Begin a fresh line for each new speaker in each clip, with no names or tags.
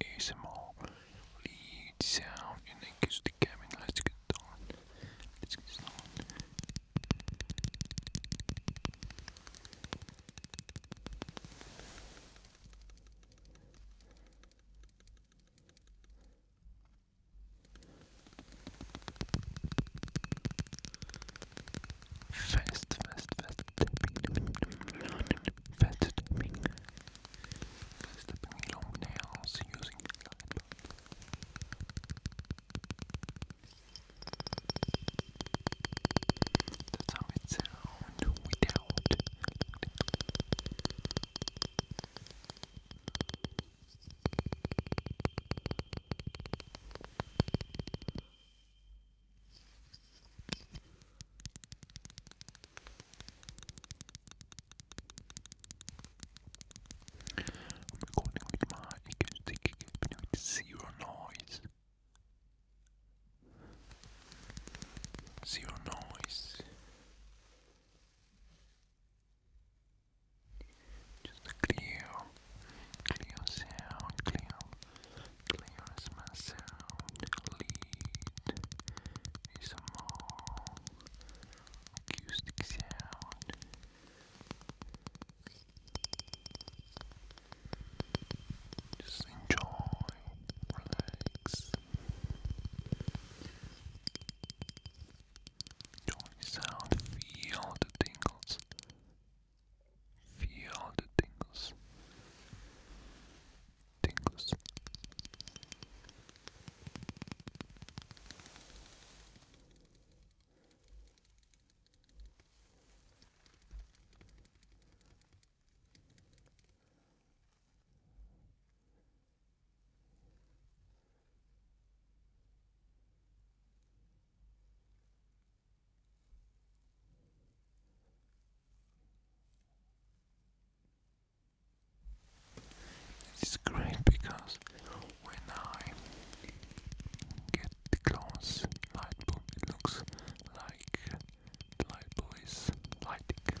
ASMR lead sound and then goes Let's get on. Let's get on fast, fast, fast tapping, fast tapping, tapping long nails using light bulb. That's how it sounds without. I'm recording with my acoustic equipment with zero noise. Zero noise. Just a clear, clear sound, clear Clear is my sound. Lead is a more acoustic sound. Just enjoy, relax. do sound, feel the tingles. Feel all the tingles. Tingles. It's great because when I get the close light bulb, it looks like light bulb is lighting.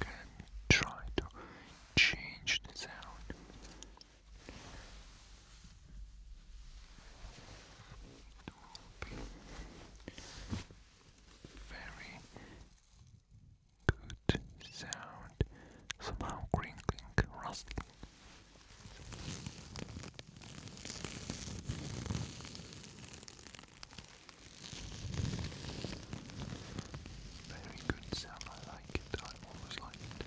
Okay, try to change the sound. It will be very good sound, somehow crinkling, rustling. Very good sound, I like it, I always like it.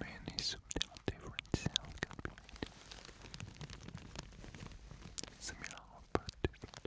Many subtle different sounds can Similar but different.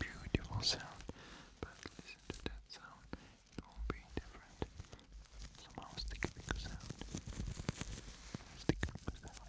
Beautiful sound, but listen to that sound, it will be different. Somehow stick a sound. Stick a sound.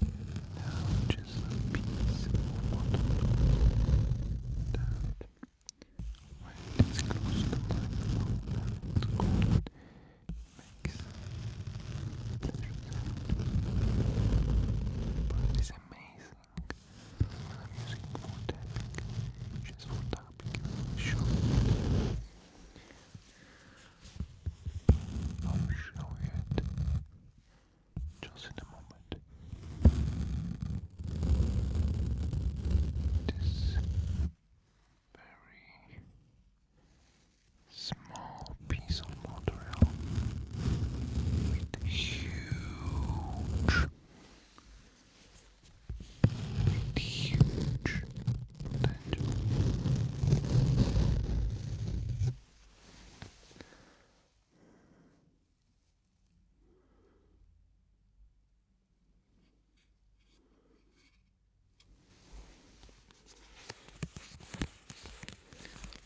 Now just a piece of water that when it's close to my mouth, makes but it's amazing I'm using for just for tapping, I'll show you it just in a moment. This very small piece of monorail with huge, huge potential.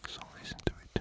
So listen to it.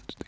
That's the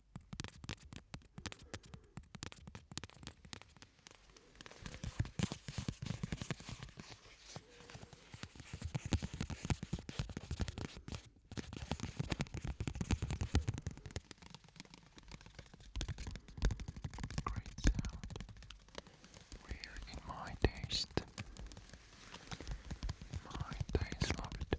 Great sound. Weird in my taste. My taste love it.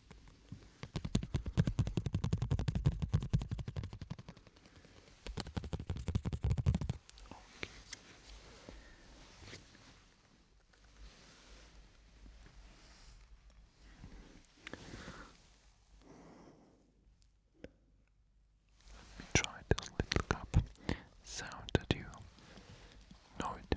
Let me try this little cup sound that you know it.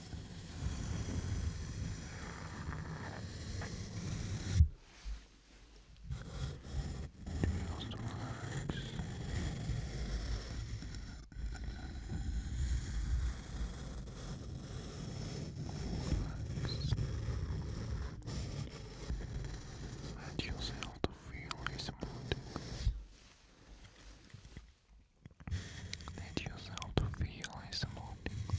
Just relax. Let yourself feel his mood. Let yourself feel his emotions.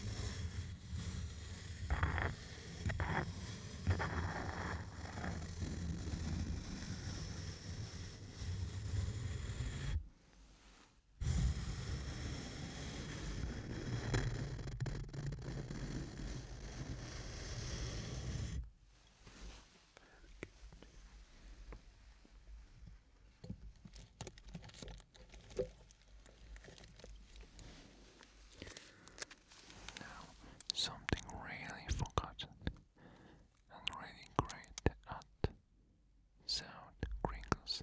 Now, something really forgotten and really great at sound crinkles.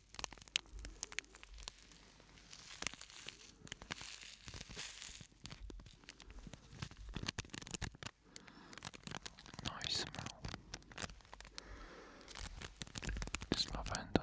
Nice smell. It's lavender.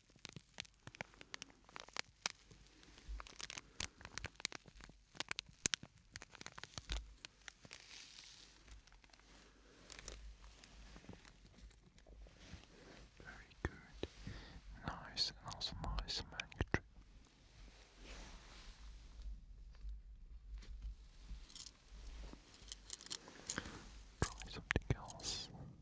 Very good. Nice and also nice manuscript. Try something else.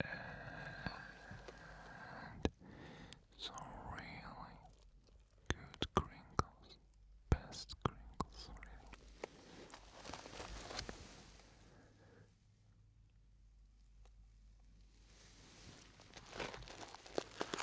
And some really good crinkles, best crinkles,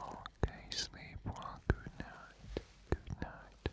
Okay, sleep well. Good night. Good night.